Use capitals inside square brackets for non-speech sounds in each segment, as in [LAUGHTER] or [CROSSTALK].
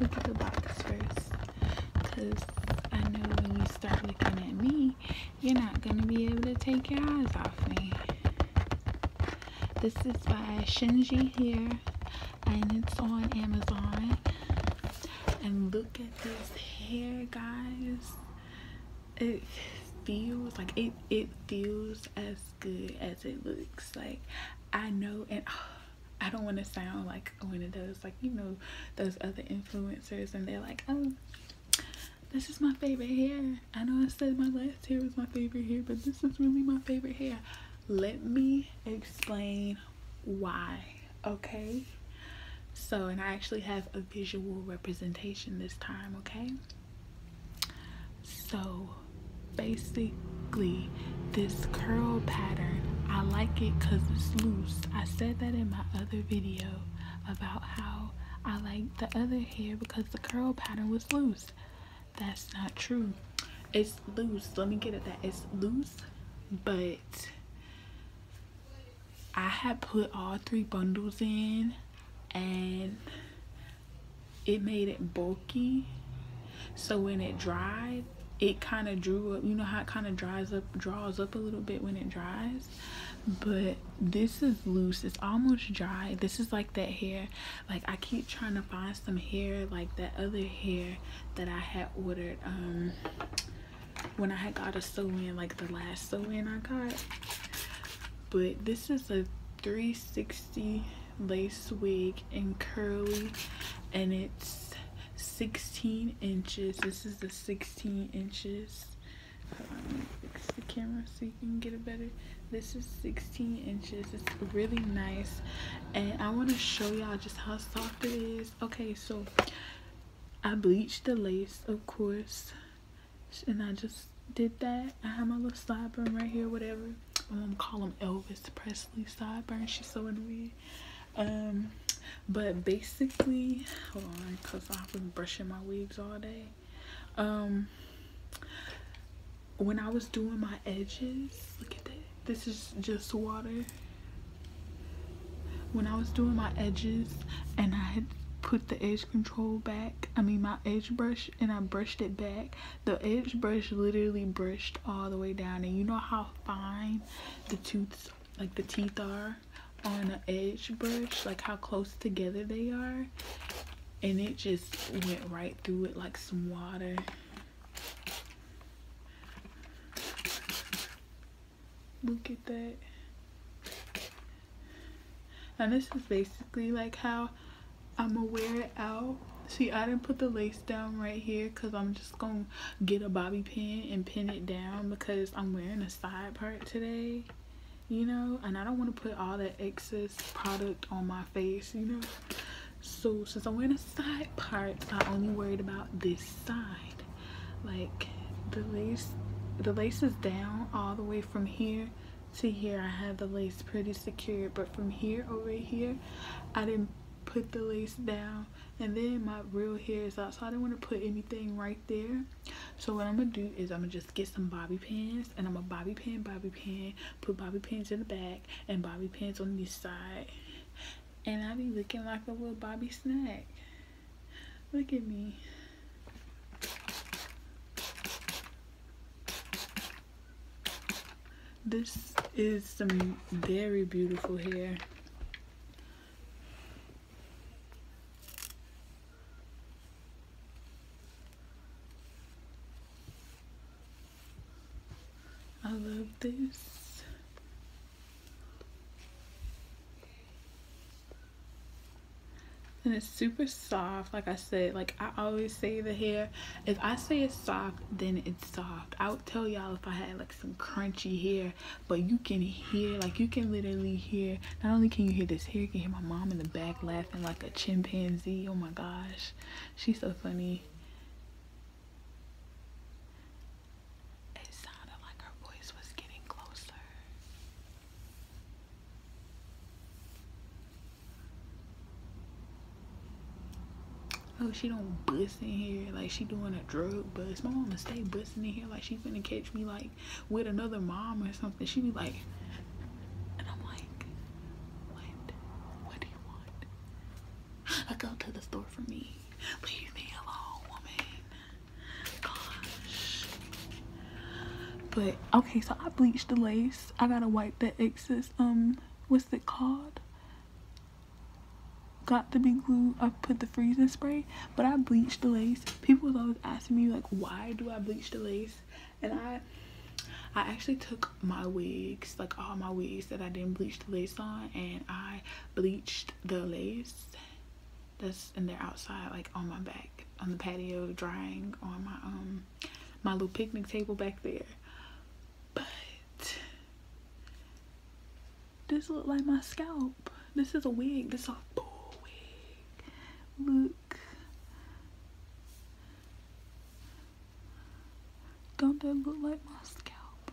Look at the box first, cause I know when you start looking at me, you're not gonna be able to take your eyes off me. This is by Shinji here, and it's on Amazon. And look at this hair, guys it feels like it it feels as good as it looks like i know and [SIGHS] i don't want to sound like one of those like you know those other influencers and they're like oh this is my favorite hair i know i said my last hair was my favorite hair but this is really my favorite hair let me explain why okay so and i actually have a visual representation this time, okay? So basically, this curl pattern, I like it because it's loose. I said that in my other video about how I like the other hair because the curl pattern was loose. That's not true. It's loose. Let me get it. that. It's loose, but I had put all three bundles in and it made it bulky. So when it dried, it kind of drew up. You know how it kind of dries up, draws up a little bit when it dries. But this is loose. It's almost dry. This is like that hair. Like I keep trying to find some hair like that other hair that I had ordered. Um, when I had got a sew-in, like the last sew-in I got. But this is a 360 lace wig and curly and it's 16 inches. This is the 16 inches. On, fix the camera so you can get it better. This is 16 inches. It's really nice. And I want to show y'all just how soft it is. Okay, so I bleached the lace, of course, and I just did that. I have my little sideburn right here, whatever. My mom call them Elvis Presley sideburn. She's so weird. Um, but basically, hold on, cause I've been brushing my wigs all day. Um, when I was doing my edges, look at that. This is just water when I was doing my edges and I had put the edge control back I mean my edge brush and I brushed it back the edge brush literally brushed all the way down and you know how fine the tooths like the teeth are on an edge brush like how close together they are and it just went right through it like some water Look at that. And this is basically like how I'm gonna wear it out. See, I didn't put the lace down right here because I'm just gonna get a bobby pin and pin it down because I'm wearing a side part today, you know? And I don't want to put all that excess product on my face, you know? So since I'm wearing a side parts I only worried about this side like the lace the lace is down all the way from here to here I have the lace pretty secure but from here over here I didn't put the lace down and then my real hair is out so I didn't want to put anything right there so what I'm gonna do is I'm gonna just get some bobby pins and I'm gonna bobby pin bobby pin put bobby pins in the back and bobby pins on this side and I be looking like a little Bobby Snack. Look at me. This is some very beautiful hair. I love this. And it's super soft. Like I said, like I always say the hair. If I say it's soft, then it's soft. I would tell y'all if I had like some crunchy hair. But you can hear, like you can literally hear. Not only can you hear this hair, can hear my mom in the back laughing like a chimpanzee. Oh my gosh. She's so funny. It sounded like her voice was getting closer. Oh, she don't bust in here like she doing a drug bust. My mama stay busting in here like she finna catch me like with another mom or something. She be like, and I'm like, what? What do you want? I go to the store for me. Leave me alone, woman. Gosh. But okay, so I bleached the lace. I gotta wipe that excess. Um, what's it called? Got the big glue. I put the freezing spray, but I bleached the lace. People was always asking me like, why do I bleach the lace? And I I actually took my wigs, like all my wigs that I didn't bleach the lace on, and I bleached the lace that's in there outside, like on my back, on the patio, drying on my um my little picnic table back there. But this look like my scalp. This is a wig. This is a full wig. Look. Don't that look like my scalp?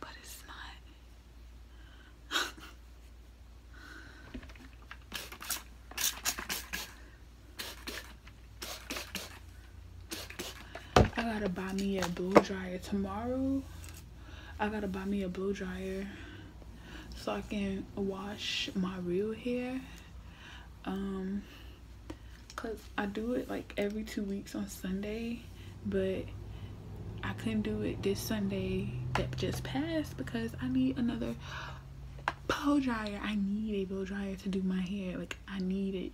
But it's not. I gotta buy me a blow dryer tomorrow. I gotta buy me a blow dryer so I can wash my real hair. Um, because I do it like every two weeks on Sunday, but I couldn't do it this Sunday that just passed because I need another blow dryer. I need a blow dryer to do my hair. Like, I need it.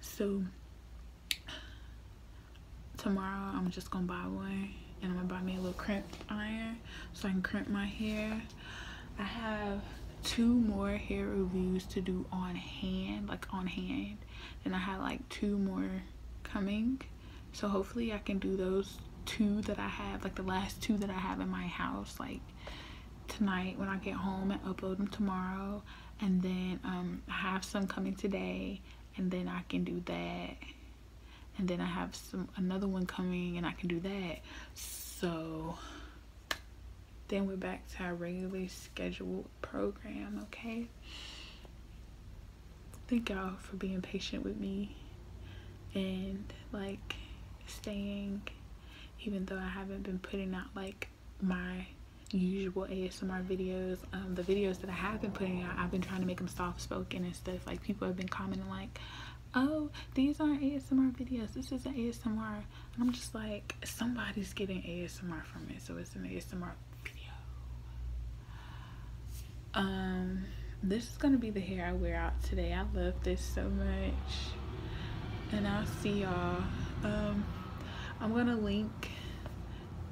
So, tomorrow I'm just going to buy one and I'm going to buy me a little crimp iron so I can crimp my hair I have two more hair reviews to do on hand, like on hand. And I have like two more coming. So hopefully I can do those two that I have, like the last two that I have in my house, like tonight when I get home and upload them tomorrow. And then um, I have some coming today and then I can do that. And then I have some another one coming and I can do that. So then we're back to our regularly scheduled program, okay? Thank y'all for being patient with me and like staying, even though I haven't been putting out like my usual ASMR videos. Um, the videos that I have been putting out, I've been trying to make them soft spoken and stuff. Like people have been commenting like, oh these are asmr videos this is an asmr and i'm just like somebody's getting asmr from it so it's an asmr video um this is gonna be the hair i wear out today i love this so much and i'll see y'all um i'm gonna link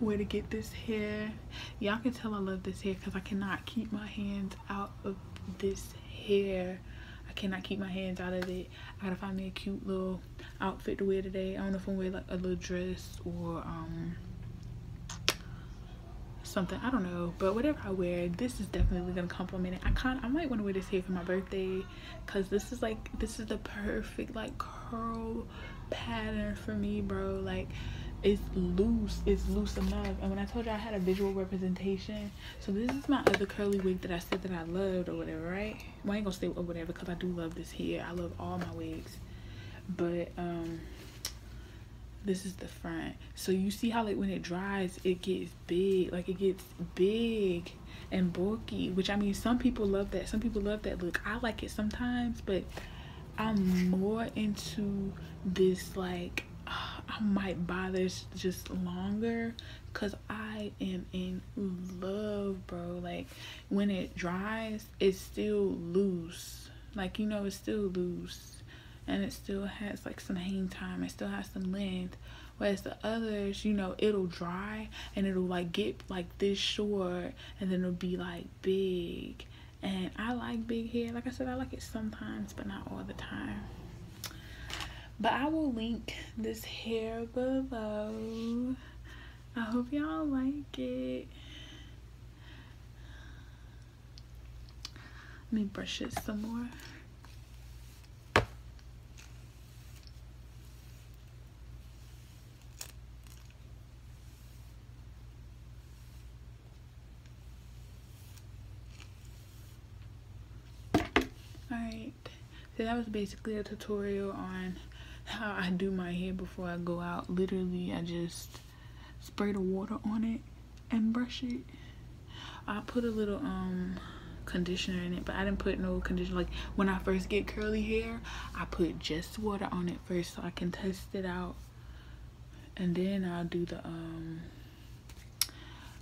where to get this hair y'all can tell i love this hair because i cannot keep my hands out of this hair I cannot keep my hands out of it. I gotta find me a cute little outfit to wear today. I don't know if I'm wearing like a little dress or um something. I don't know, but whatever I wear, this is definitely gonna compliment it. I kind I might want to wear this hair for my birthday, cause this is like this is the perfect like curl pattern for me, bro. Like it's loose, it's loose enough. And when I told you I had a visual representation so this is my other curly wig that i said that i loved or whatever right i ain't gonna say or whatever because i do love this hair i love all my wigs but um, this is the front so you see how like when it dries it gets big like it gets big and bulky which i mean some people love that some people love that look i like it sometimes but i'm more into this like uh, I might buy this just longer because I am in love, bro. Like when it dries, it's still loose. Like you know, it's still loose, and it still has like some hang time. It still has some length. Whereas the others, you know, it'll dry and it'll like get like this short, and then it'll be like big, and I like big hair like I said I like it sometimes but not all the time but I will link this hair below I hope y'all like it let me brush it some more Alright, so that was basically a tutorial on how I do my hair before I go out. Literally, I just spray the water on it and brush it. I put a little um conditioner in it but I didn't put no conditioner like when I first get curly hair I put just water on it first so I can test it out and then I'll do the um,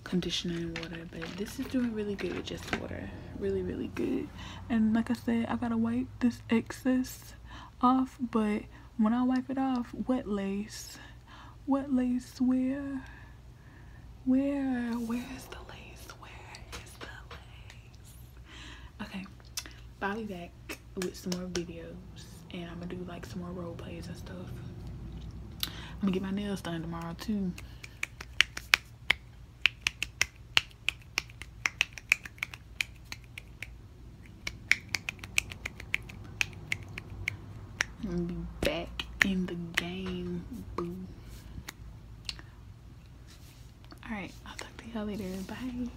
conditioner and water but this is doing really good with just water really really good and like I said I gotta wipe this excess off but when I wipe it off wet lace wet lace where where where is the lace where is the lace okay Bobby back with some more videos and I'm gonna do like some more role plays and stuff. I'm gonna get my nails done tomorrow too. I'm be back in the game, Alright, I'll talk to y'all later. Bye.